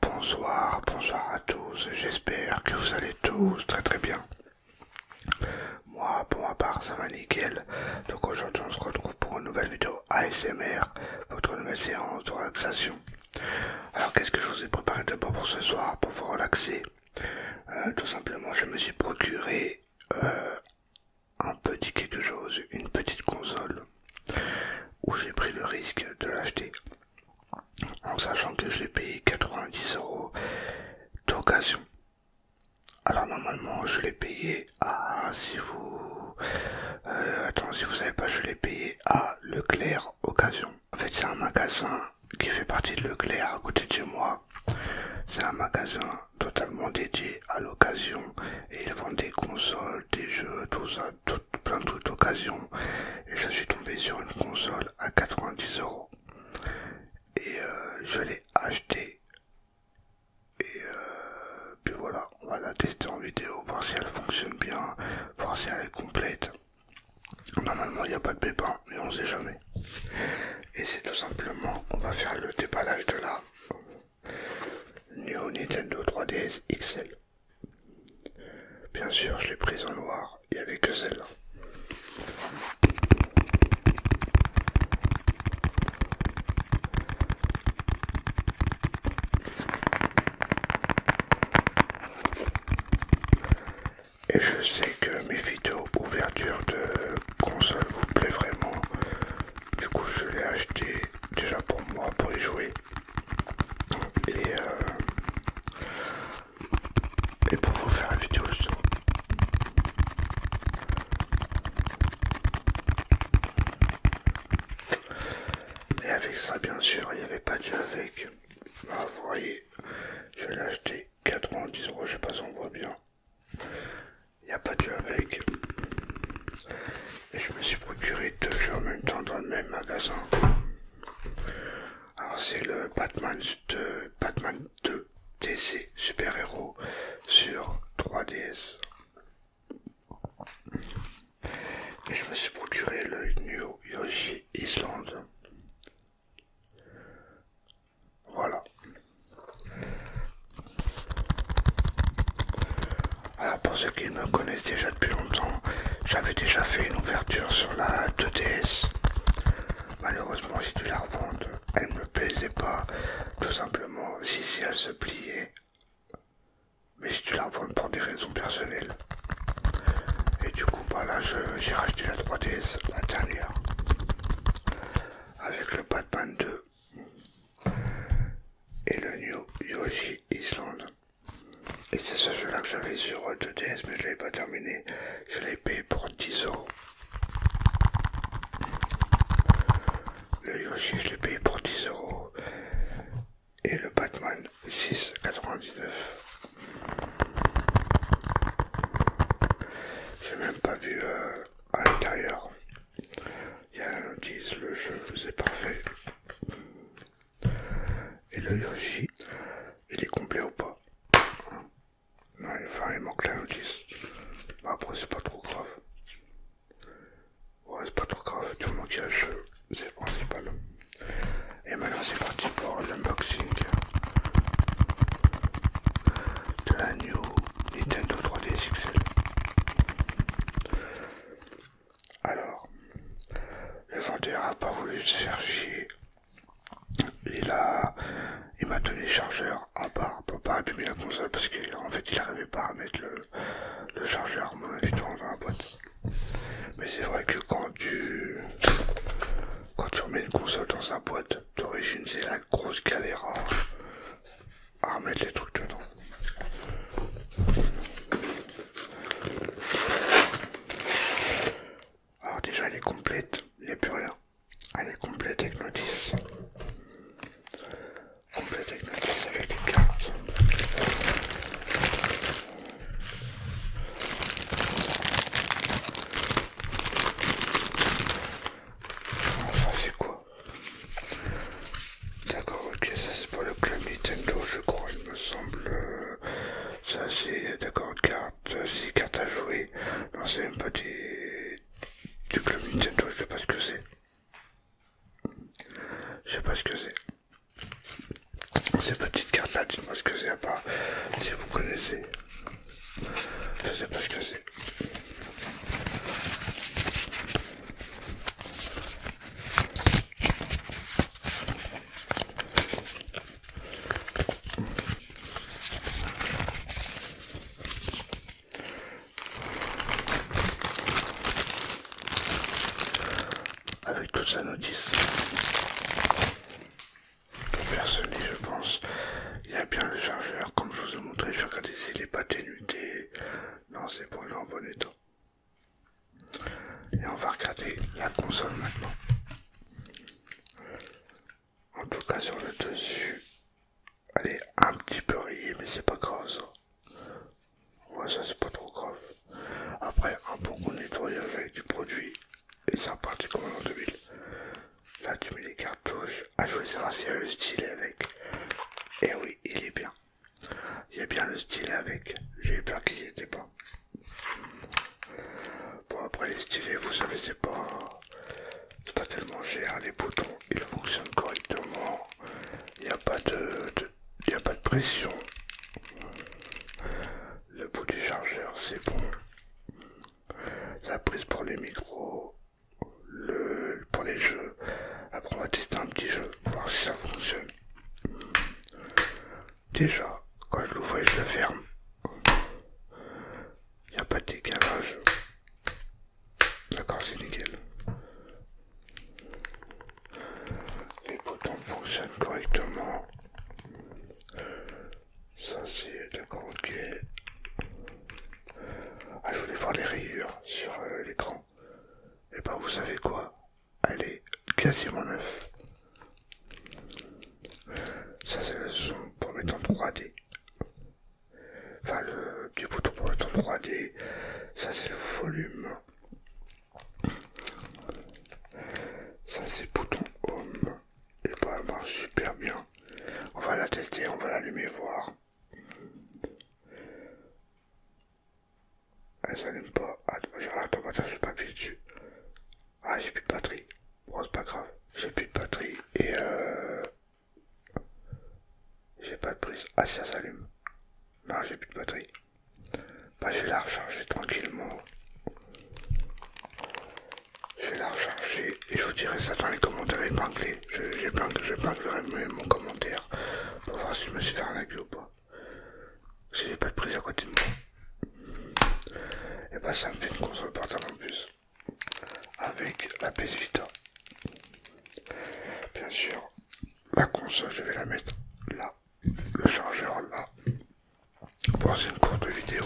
Bonsoir, bonsoir à tous, j'espère que vous allez tous très très bien. Moi, pour ma part, ça va nickel. Donc aujourd'hui, on se retrouve pour une nouvelle vidéo ASMR, votre nouvelle séance de relaxation. Alors, qu'est-ce que je vous ai préparé de d'abord pour ce soir, pour vous relaxer euh, tout simplement, je me suis procuré euh, un petit quelque chose, une petite console, où j'ai pris le risque de l'acheter, en sachant que j'ai payé 90 euros d'occasion. Alors normalement, je l'ai payé à, si vous, attendez euh, attends, si vous savez pas, je l'ai payé à Leclerc Occasion. En fait, c'est un magasin qui fait partie de Leclerc à côté de chez moi. C'est un magasin totalement dédié à l'occasion et ils vendent des consoles, des jeux, tout ça, plein de trucs d'occasion. Et je suis tombé sur une console à 90 euros et euh, je l'ai acheté Et euh, puis voilà, on va la tester en vidéo, voir si elle fonctionne bien, voir si elle est complète. Normalement, il n'y a pas de pépin, mais on ne sait jamais. Et c'est tout simplement, on va faire le déballage de la Neo Nintendo 3DS XL. Bien sûr, je l'ai prise en noir, il n'y avait que celle-là. Et je sais que mes vidéos ouverture de console vous plaît vraiment. Du coup, je l'ai acheté déjà pour moi, pour y jouer. Et, euh, pour vous faire la vidéo aussi. Et avec ça, bien sûr, il n'y avait pas de avec. Bah, vous voyez, je l'ai acheté 90 euros, je sais pas si on voit bien. Il n'y a pas de jeu avec. Et je me suis procuré deux jeux en même temps dans le même magasin. Alors c'est le Batman Batman 2 DC Super Héros sur 3DS. Et je me suis procuré le New Yoshi Island. Voilà. pour ceux qui me connaissent déjà depuis longtemps, j'avais déjà fait une ouverture sur la 2DS. Malheureusement, si tu la revends, elle ne me plaisait pas. Tout simplement, si, si elle se pliait. Mais si tu la revends pour des raisons personnelles, et du coup, bah là, j'ai racheté la 3DS, la dernière, avec le Batman 2 et le New Yoshi Island. Et c'est ce jeu-là que j'avais sur 2DS, mais je ne l'avais pas terminé. Je l'ai payé pour 10 euros. Le Yoshi, je l'ai payé pour 10 euros. Et le Batman, 6,99. J'ai même pas vu euh, à l'intérieur. Il y a un notice, le jeu, c'est parfait. Et le Yoshi, il est complet ou pas Non, il manque la notice. Bah, après, c'est pas trop grave. Ouais, c'est pas trop grave, Tu le qu'il a le jeu, c'est le principal. Et maintenant c'est parti pour l'unboxing de la New Nintendo 3DS XL. Alors, le vendeur a pas voulu se faire chier. Il a, il m'a donné le chargeur à part pour pas abîmer la console parce qu'en fait il n'arrivait pas à mettre le, chargeur dans la boîte. Mais c'est vrai que quand tu quand tu remets une console dans sa boîte d'origine, c'est la grosse galère à, remettre les trucs dedans. Alors déjà elle est complète, il n'y a plus rien. Elle est complète avec nos 10. Complète avec nos 10 avec des cartes ça c'est quoi D'accord, ok, ça c'est pas le club Nintendo, je crois, il me semble. Ça c'est, d'accord, carte c'est une à jouer. Non, c'est même pas du club Nintendo, je sais pas ce que c'est. Je sais pas ce que c'est. Ces petites cartes là, dites-moi ce que c'est à part si vous connaissez. Je sais pas ce que c'est. Avec toute sa notice. Personnellement, je pense. Il y a bien le chargeur, comme je vous ai montré, je vais regarder s'il n'est pas dénudé. Non, c'est bon, il est en bon état. Et on va regarder la console maintenant. En tout cas, sur le dessus, elle est un petit peu rayée, mais c'est pas grave ça. ça c'est pas trop grave. Après, un bon nettoyage avec du produit, et ça repartit comme en 2000 là tu mets les cartouches. À ah, jouer voulais savoir le stylet avec. Et eh oui, il est bien. Il y a bien le stylet avec. J'ai peur qu'il n'y était pas. Bon, après les stylets, vous savez, c'est pas. pas tellement cher. Les boutons, ils fonctionnent correctement. Il n'y a pas de pression. Le bout du chargeur, c'est bon la prise pour les micros, le pour les jeux. Après on va tester un petit jeu, voir si ça fonctionne. Déjà, quand je l'ouvre et je le ferme, il n'y a pas de décalage. D'accord, c'est nickel. Les boutons fonctionnent correctement. Ça c'est d'accord, ok. Ah, je voulais voir les rayures sur euh, l'écran. Et bah ben, vous savez quoi Elle est quasiment neuve. Ça c'est le son pour mettre en 3D. Enfin le petit bouton pour mettre en 3D. Ça c'est le volume. Ça c'est bouton home et pas elle marche super bien. On va la tester, on va l'allumer voir. Elle s'allume pas. Oh, attends, attends, j'ai pas dessus. Ah, j'ai plus de batterie. Bon, c'est pas grave. J'ai plus de batterie et euh... J'ai pas de prise. Ah, ça s'allume. Non, j'ai plus de batterie. Bah, je vais la recharger tranquillement. Je vais la recharger et je vous dirai ça dans les commentaires épinglés. J'épinglerai mon commentaire pour voir si je me suis fait arnaquer ou pas. Si j'ai pas de prise à côté de moi. Et eh bah ben, ça me fait une console portable en plus. Avec la PS Vita. Bien sûr, la console je vais la mettre là. Le chargeur là. Bon, une courte vidéo.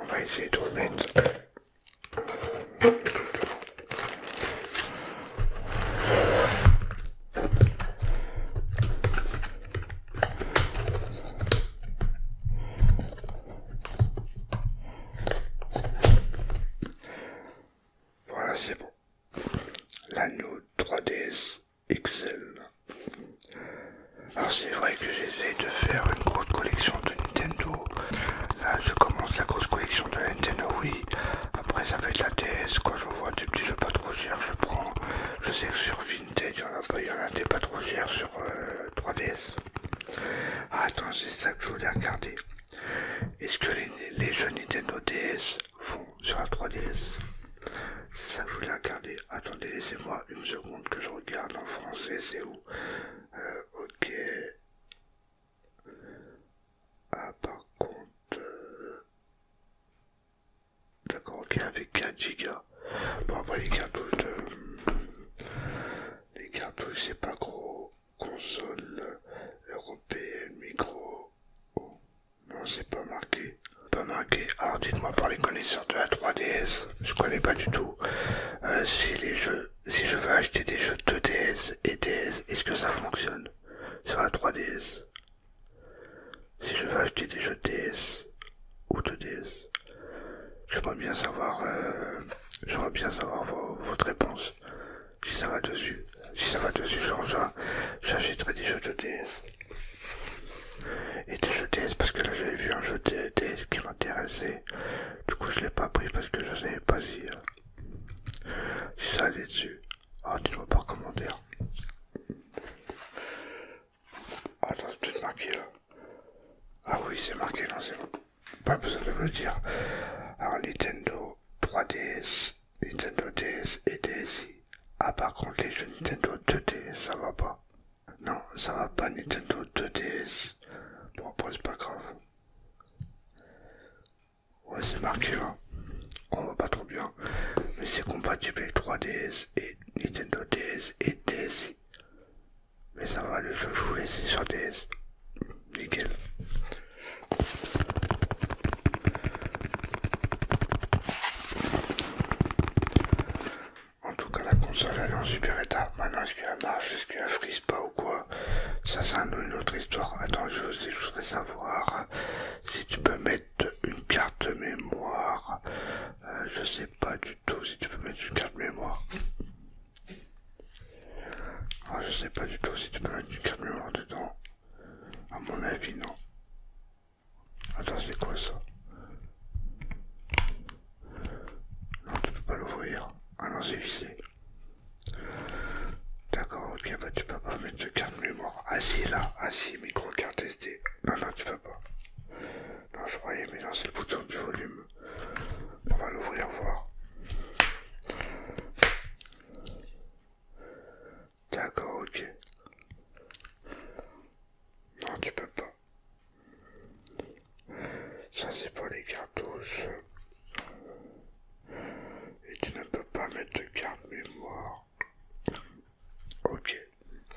On va essayer de remettre voilà, c'est bon. L'anneau 3DS XL. Alors c'est vrai que j'essaie de faire une grosse collection de Nintendo. Là je commence la grosse collection de Nintendo Wii. Après, ça fait de la DS. Quand je vois des petits jeux pas trop chers, je prends. Je sais que sur Vintage, il y en a des pas trop chers sur 3DS. Euh, ah, attends, c'est ça que je voulais regarder. Est-ce que les, jeux Nintendo DS vont sur la 3DS C'est ça que je voulais regarder. Attendez, laissez-moi une seconde que je regarde en français, c'est où euh, Ok. Ah, par contre. Euh, d'accord, ok, avec 4 Go. Bon, après les cartouches Les cartouches, c'est pas gros. Console européenne, micro. Non, c'est pas marqué. Pas marqué. Alors, dites-moi par les connaisseurs de la 3DS, je connais pas du tout. Euh, si les jeux. Si je veux acheter des jeux 2 DS et DS, est-ce que ça fonctionne sur la 3DS. Si je veux acheter des jeux DS ou 2DS, j'aimerais bien savoir, euh, j'aimerais bien savoir votre réponse. Si ça va dessus, si ça va dessus, j'achèterai des jeux de DS. Et des jeux DS parce que là j'avais vu un jeu de DS qui m'intéressait. Du coup je l'ai pas pris parce que je savais pas si... Euh, si ça allait dessus, ah tu ne vois pas comment hein. dire. attends, c'est peut-être marqué là. Ah oui, c'est marqué, non, c'est bon. Pas besoin de me le dire. Alors Nintendo 3DS, Nintendo DS et DSi. Ah par contre les jeux Nintendo 2DS, ça va pas. Non, ça va pas Nintendo 2DS. Bon, c'est pas grave. Ouais, c'est marqué hein, On voit pas trop bien. Mais c'est compatible avec 3DS et Nintendo DS et DSi. Mais ça va, le jeu je vous sur DS. Nickel. En tout cas, la console elle est en super état. Maintenant, est-ce qu'elle marche Est-ce qu'elle frise pas ou quoi ça c'est une autre histoire. Attends, je, voudrais savoir si tu peux mettre une carte mémoire. Euh, je sais pas du tout si tu peux mettre une carte mémoire. Ah, je sais pas du tout si tu peux mettre une carte mémoire dedans. À mon avis, non. Attends, c'est quoi ça Non, tu peux pas l'ouvrir. Ah non, c'est vissé. D'accord, ok, bah tu peux pas mettre de carte mémoire. Ah là, ah micro carte SD. Non, non, tu peux pas. Non, je croyais, mais non, c'est le bouton du volume. On va l'ouvrir, voir. D'accord, ok. Non, tu peux pas. Ça, c'est pas les cartouches. Et tu ne peux pas mettre de carte mémoire. Ok.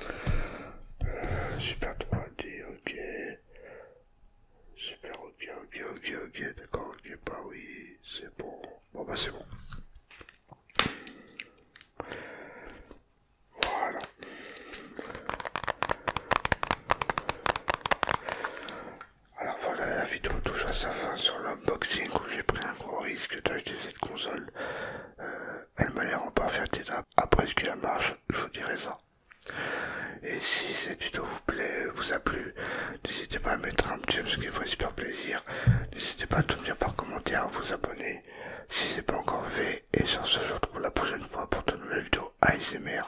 Euh, super 3D, ok. Super, ok, ok, ok, ok, d'accord, ok, bah oui, c'est bon. Bon bah c'est bon. Voilà. Alors voilà, la vidéo touche à sa fin sur l'unboxing où j'ai pris un gros risque d'acheter cette console. Euh, elle m'a l'air en parfaite étape, Après ce qu'elle marche, je vous dirai ça. Et si cette vidéo vous plaît, vous a plu, n'hésitez pas à mettre un petit j'aime, ce qui vous fait super plaisir. N'hésitez pas à tout me dire par commentaire, à vous abonner si ce n'est pas encore fait. Et sur ce, je vous retrouve la prochaine fois pour de nouvelles vidéos ASMR.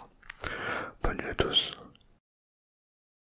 Bonne nuit à tous.